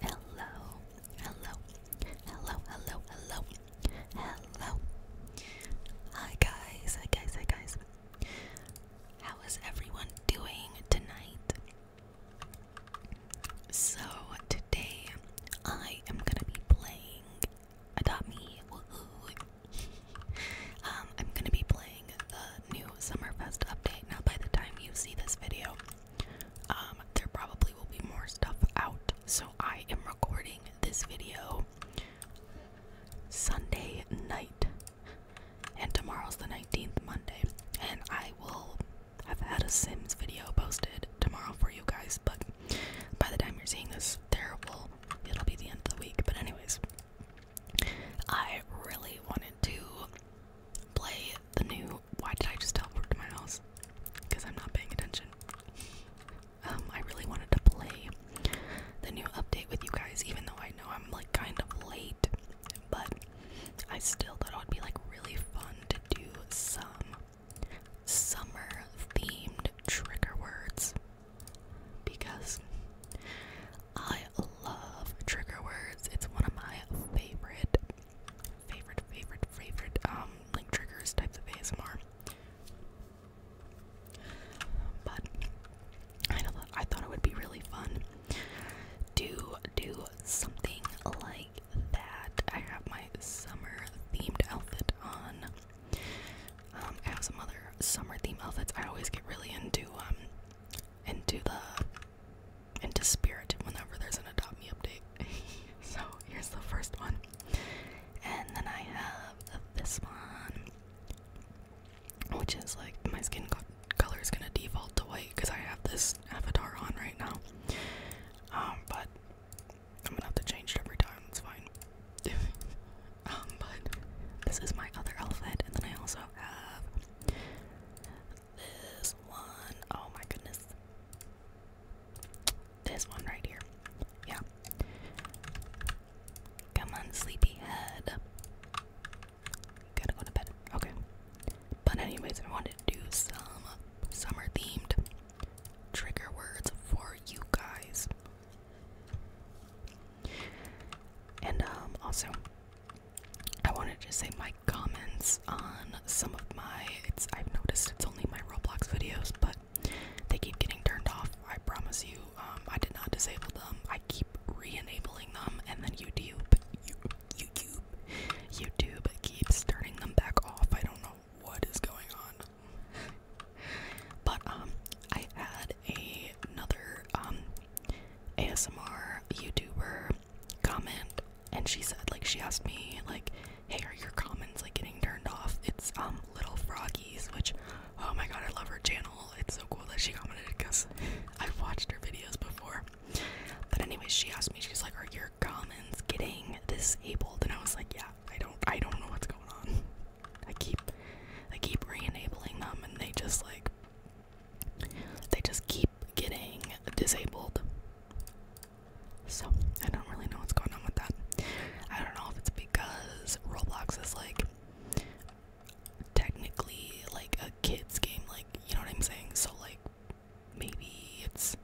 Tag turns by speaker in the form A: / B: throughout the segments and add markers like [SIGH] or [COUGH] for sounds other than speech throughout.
A: Hello, hello, hello, hello, hello, hello. Hi guys, hi guys, hi guys. How is everyone doing tonight? So today I am gonna be playing Adopt Me. [LAUGHS] Um, I'm gonna be playing the new Summerfest update. Now, by the time you see this video, um, there probably will be more stuff out. So I am recording this video Sunday night, and tomorrow's the 19th, Monday, and I will I've had a Sims video posted tomorrow for you guys, but by the time you're seeing this, terrible, it'll be the end of the week. But anyways, I really wanted to play the new. Why did I just teleport to my house? Because I'm not paying attention. Um, I really wanted to play the new update with you guys, even though I know I'm like kind of late but I still thought it would be like really fun to do some summer themed trigger words because I love trigger words. It's one of my favorite, favorite, favorite, favorite, um, like triggers types of ASMR. But I know I thought it would be really fun to do something like that. I have my summer themed outfit on. Um, I have some other summer themed outfits. I always get really into um into the into spirit whenever there's an adopt me update. [LAUGHS] so here's the first one. And then I have this one, which is like my skin color is gonna default to white because I have this avatar on right now. Um, but I'm gonna have to change it every time, it's fine. [LAUGHS] Um, but this is my other outfit, and then I also have this one. Oh my goodness. This one right here. Yeah. Come on, sleepyhead gotta go to bed. Okay. But anyways, I wanted to do some summer themed trigger words for you guys. And um also I wanted to say my comments on some of my it's I've noticed it's only my Roblox videos, but they keep getting turned off. I promise you, um I did not disable them. I keep re-enabling them and then YouTube you, YouTube, YouTube keeps turning them back off. I don't know what is going on. but um, I had a, another um ASMR YouTuber comment, and she said like she asked me like, "Hey, are your comments like getting turned off?" It's um Little Froggies, which oh my god, I love her channel. It's so cool that she commented because I've watched her videos before. But anyway, she asked me, she's like, Are your comments getting disabled? And I was like, Yeah, I don't I don't know what's going on. [LAUGHS] I keep I keep re-enabling them and they just like they just keep getting disabled. So I don't really know what's going on with that. I don't know if it's because Roblox is like technically like a kids game, like you know what I'm saying? So like maybe it's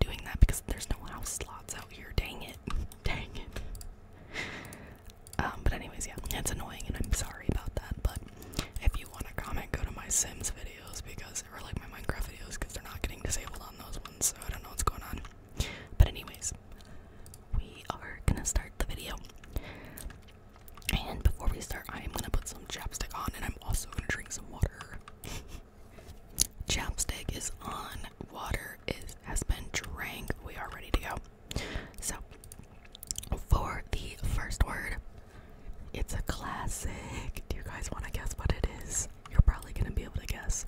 A: doing that because there's no house slots out here. Dang it. [LAUGHS] Dang it. Um, but anyways, yeah, it's annoying and I'm sorry about that, but if you want to comment, go to my Sims videos because, or like my Minecraft videos because they're not getting disabled on those ones, so I don't know what's going on. But anyways, we are gonna start the video. And before we start, I am gonna put some chapstick on and I'm also gonna drink some water. [LAUGHS] chapstick is on, water is has been drank. We are ready to go. So for the first word, it's a classic. Do you guys wanna guess what it is? You're probably gonna be able to guess.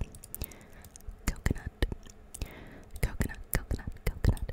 A: Coconut. Coconut, coconut, coconut,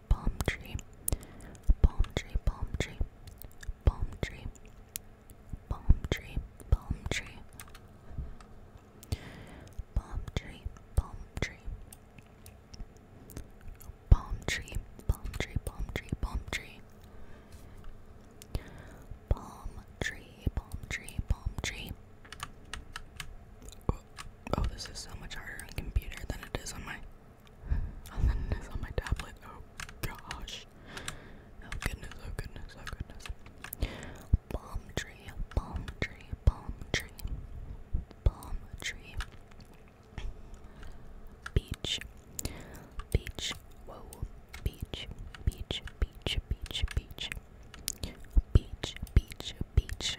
A: palm tree, palm tree, palm tree, palm tree, palm tree, palm tree, palm tree, palm tree, palm tree, palm tree, palm tree, palm tree, palm tree, palm tree, palm tree. Oh, this is so much harder on computer than it is on my and then it's on my tablet. Oh gosh. Oh goodness, oh goodness, oh goodness. Palm tree, palm tree, palm tree, palm tree. Beach, beach, whoa, beach, beach, beach, beach, beach. Beach, beach, beach,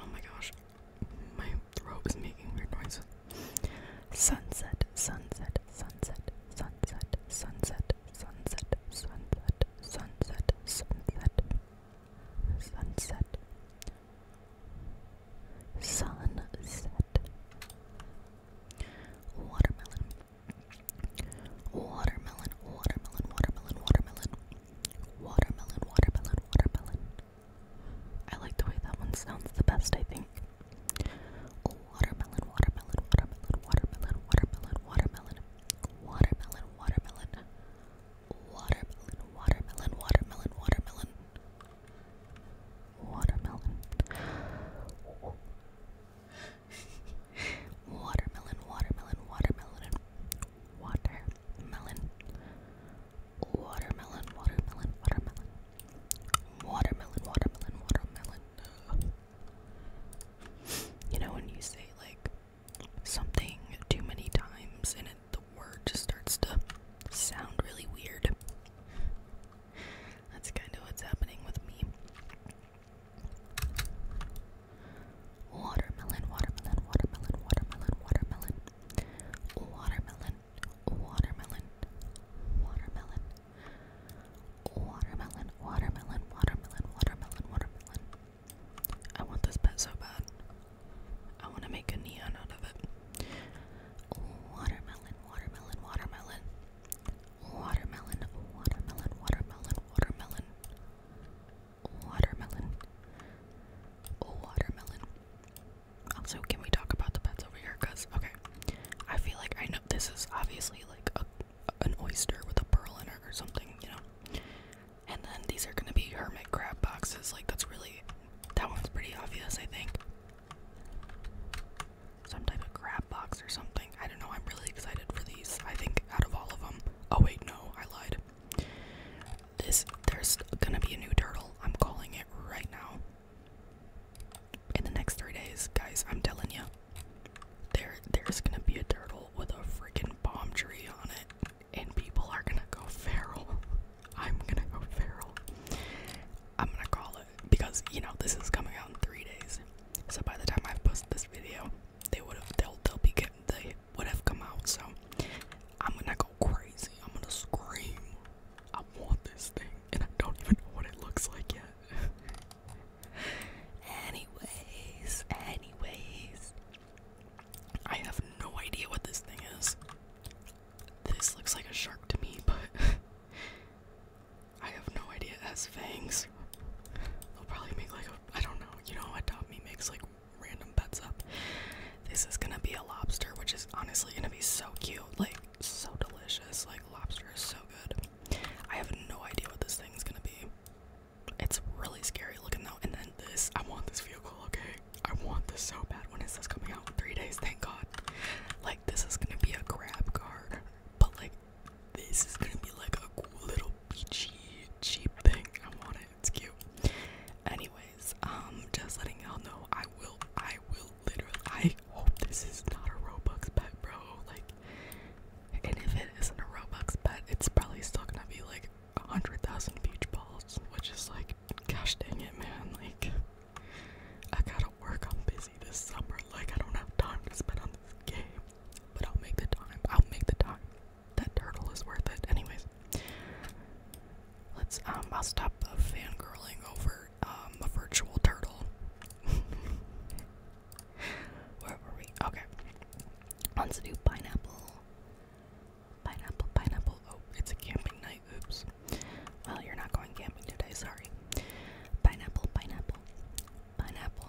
A: Oh my gosh, my throat is making weird noises. Sunset, sunset, sunset, sunset, sunset, sunset, sunset, sunset, sunset, sunset, sunset, watermelon. Watermelon, watermelon, watermelon, watermelon, Watermelon, watermelon, watermelon. I like the way that one sounds the best, I think. Watermelon, watermelon, watermelon, watermelon, watermelon, watermelon, watermelon, watermelon, watermelon, watermelon, watermelon, watermelon, watermelon. Watermelon, watermelon, watermelon, watermelon, watermelon, watermelon, watermelon, watermelon, watermelon, watermelon. You know when you say like something too many times and it the word just starts to sound really weird. That's kind of what's happening with me. Watermelon, watermelon, watermelon, watermelon, watermelon. Watermelon, watermelon, watermelon. Watermelon, watermelon, watermelon, watermelon, watermelon. I want this pet so bad. I want to make a neon out of it. Watermelon, watermelon, watermelon. Watermelon, watermelon, watermelon, watermelon. Watermelon. watermelon. Also, can we talk about the pets over here? Cause okay, I feel like I know this is obviously like a, an oyster with a pearl in it or something, you know. And then these are gonna be hermit crab boxes. Like that's really that one's pretty obvious, I think. Some type of crab box or something. I don't know. I'm really excited for these. I think out of all of them. Oh wait, no, I lied. This there's gonna be a new turtle. I'm calling it right now. In the next three days, guys, I'm telling you, there there's gonna be a turtle with a freaking palm tree on it, and people are gonna go feral. [LAUGHS] I'm gonna go feral. I'm gonna call it because you know this is coming out in three days. So by the time I have posted this video, they would have they'll they'll be they would have come out. So I'm gonna go crazy. I'm gonna scream. I want this thing, and I don't even know what it looks like yet. [LAUGHS] anyways, anyways, I have no idea what this thing is. This looks like a shark to me, [LAUGHS] but I have no idea. It has fangs. They'll probably make like a I don't know. You know, adopt me makes like random bets up. This is gonna be a lobster, which is honestly gonna be so cute, like so delicious. Like lobster is so good. I have no idea what this thing's gonna be. It's really scary looking though. And then this, I want this vehicle. Okay, I want this so bad. When is this coming out? Three days, thank God. Like this is gonna be a grab car, but like this is gonna be like a cool little beachy cheap thing. I want it. It's cute. Anyways, um, just letting y'all know, I will, I will literally. I hope this is not a Robux bet, bro. Like, and if it isn't a Robux bet, it's probably still gonna be like a hundred thousand beach balls, which is like, gosh dang it, man. Like, I gotta work. I'm busy this summer. Like, I don't have time to spend on on game, but I'll make the time. I'll make the time. That turtle is worth it. Anyways, let's. Um, I'll stop uh, fangirling over um a virtual turtle. [LAUGHS] Where were we? Okay. Let's do pineapple. Pineapple, pineapple. Oh, it's a camping night. Oops. Well, you're not going camping today. Sorry. Pineapple, pineapple, pineapple,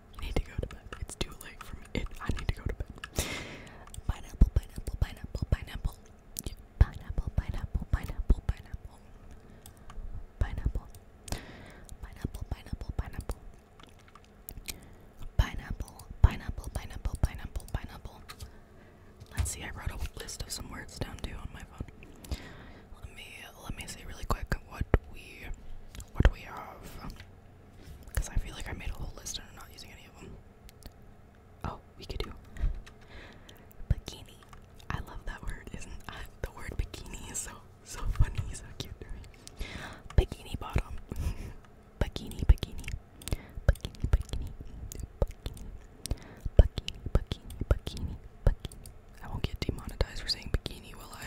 A: You need to go to bed. It's too late for me. It, I need to go to bed. Pineapple, pineapple, pineapple, pineapple. Yeah. Pineapple, pineapple, pineapple, pineapple. Pineapple. Pineapple, pineapple, pineapple. Pineapple, pineapple, pineapple, pineapple, pineapple. Let's see, I wrote a list of some words down too on my phone. Let me let me see really quick what we what we have, because I feel like I made a whole list and I'm not using any of them. Oh, we could do bikini. I love that word. Isn't I, [LAUGHS] the word bikini is so so funny, so cute to me. Bikini bottom, bikini, [LAUGHS] bikini, bikini, bikini, bikini, bikini, bikini, bikini, bikini. I won't get demonetized for saying bikini, will I?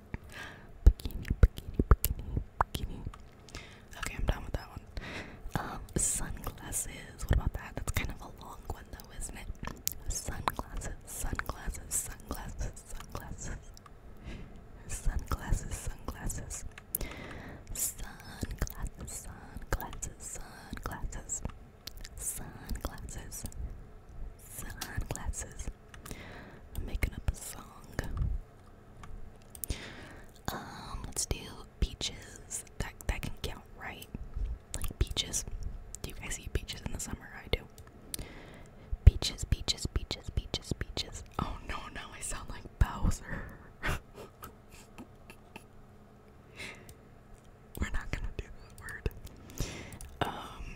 A: Bikini, bikini, bikini, bikini. Okay, I'm done with that one. Um, sunglasses. What about that? That's kind of a long one, though, isn't it? Sunglasses, sunglasses, sunglasses, sunglasses. Sunglasses, sunglasses. Sunglasses, sunglasses, sunglasses. Sunglasses. Sunglasses. I'm making up a song. Um, let's do beaches. That that can count, right? Like beaches. Do you guys eat peaches in the summer? I do. Beaches, beaches, beaches, beaches, beaches. Oh no, now I sound like Bowser. [LAUGHS] We're not gonna do that word. Um,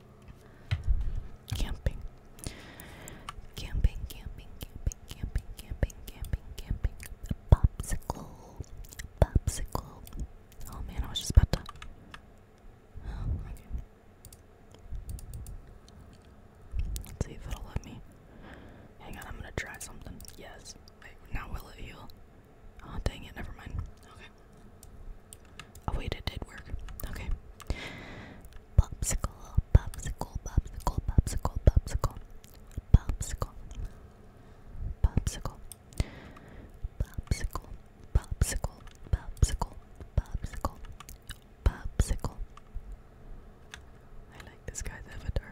A: Camping. Camping, camping, camping, camping, camping, camping, camping. popsicle. popsicle. Oh man, I was just about to. Let's see if it'll let me. Hang on, I'm gonna try something. Yes. Wait, now will it heal? Oh, dang it, never mind. Okay. Oh wait, it did work. Okay. Popsicle, popsicle, popsicle, popsicle, popsicle, popsicle, popsicle, popsicle, popsicle, popsicle, popsicle, popsicle. I like this guy's avatar.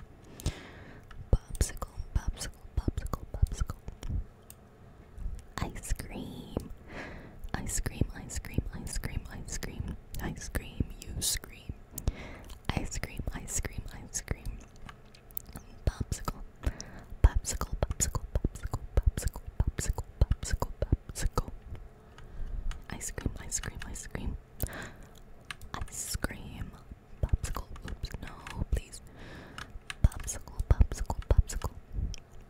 A: Popsicle, popsicle, popsicle, popsicle. Ice cream. Ice cream, ice cream, ice cream, ice cream, ice cream, you scream. Ice cream, ice cream, ice cream. Popsicle. Popsicle, popsicle, popsicle, popsicle, popsicle, popsicle, popsicle. Ice cream, ice cream, ice cream. Ice cream. Popsicle. Oops, no, please. Popsicle, popsicle, popsicle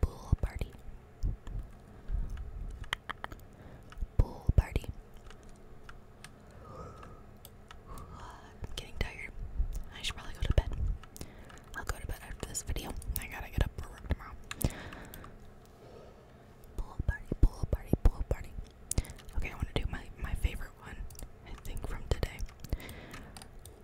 A: Pool party. Pool party. I'm getting tired. I should probably go to bed. I'll go to bed after this video. I gotta get up for work tomorrow. Pool party, pool party, pool party. Okay, I want to do my, my favorite one, I think, from today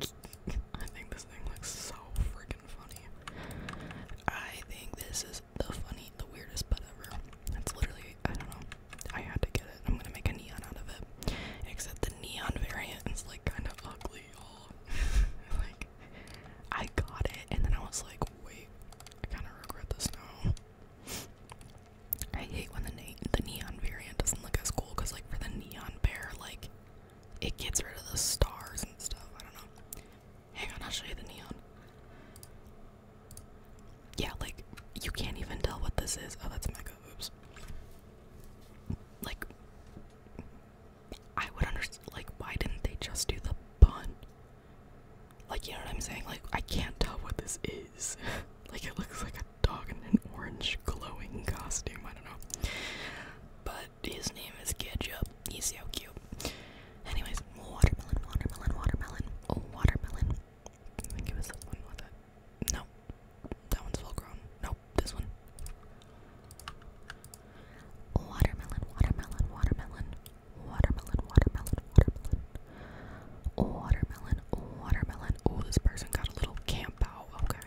A: I think this thing looks so freaking funny. I think this is the funny, the weirdest butt ever. It's literally, I don't know. I had to get it. I'm gonna make a neon out of it. Except the neon variant is like kind of ugly, [LAUGHS] like, I got it, and then I was like, wait, I kind of regret this now. I hate when the, the neon variant doesn't look as cool because, like, for the neon bear, like, it gets rid of the stars and stuff. I don't know. Hang on, I'll show you the neon. Yeah, like you can't even tell what this is. Oh, that's mega. Oops. Like, I would understand. Like, why didn't they just do the bun? Like, you know what I'm saying? Like, I can't tell what this is. [LAUGHS] like, it looks like a dog in an orange glowing costume. I don't know. But his name is Ketchup. He's so cute. Anyways, watermelon, watermelon, watermelon, oh, watermelon. I think one with No, that one's full grown. Nope, this one. Watermelon, watermelon, watermelon, watermelon, watermelon, watermelon. Watermelon, watermelon. Oh, this person got a little camp out. Okay.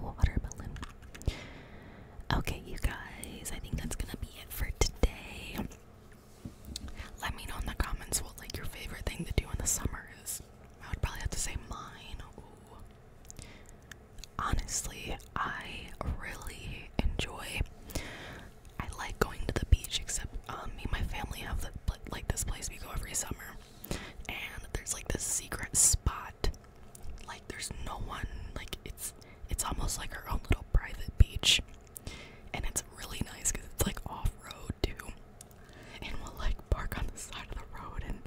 A: watermelon. Okay, you guys, I think that's gonna be it for today. Let me know in the comments what like your favorite thing to do in the summer is. I would probably have to say mine. Honestly, I really enjoy. I like going to the beach, except um, me and my family have the, like this place we go every summer, and there's like this secret spot like there's no one. Like it's it's almost like our own little private beach, and it's really nice because it's like off road too. And we'll like park on the side of the road and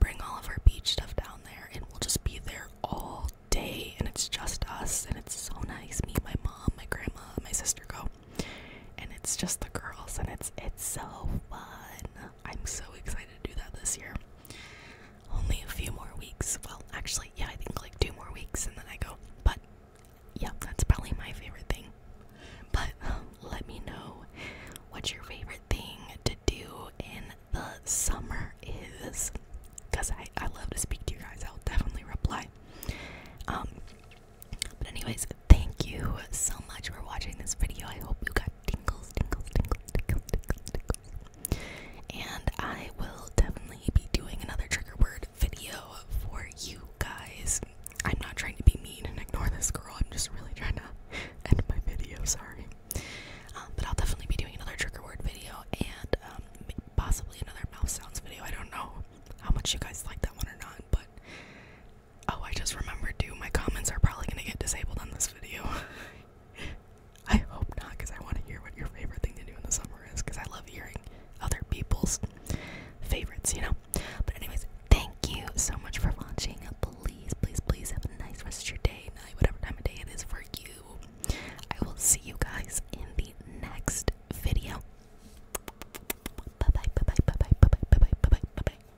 A: bring all of our beach stuff down there, and we'll just be there all day. And it's just us, and it's so nice. Me, my mom, my grandma, my sister go, and it's just the girls, and it's it's so fun. I'm so excited to do that this year only a few more weeks. Well, actually, yeah, I think like two more weeks and then I go. But yeah, that's probably my favorite thing. But [LAUGHS] let me know what your favorite thing to do in the summer is. Because I, I love to speak to you guys, I'll definitely reply. Um, but, anyways, thank you so much for watching this video. I hope you guys tingles, tingles, tingles, tingles, tingles, tingles. And I will definitely be doing another trigger word video for you guys. I'm not trying to be mean and ignore this girl. I'm just really trying to end my video. Sorry. Um, but I'll definitely be doing another trigger word video and um, possibly another mouth sounds video. I don't know how much you guys like that one or not, but Oh, I just remembered too. My comments are probably gonna get disabled on this video. [LAUGHS] I hope not, because I want to hear what your favorite thing to do in the summer is, because I love hearing other people's favorites, you know? But, anyways, thank you so much for watching. Please, please, please have a nice rest of your day, night, whatever time of day it is for you. I will see you guys in the next video. Bye bye, bye bye, bye bye, bye bye, bye bye,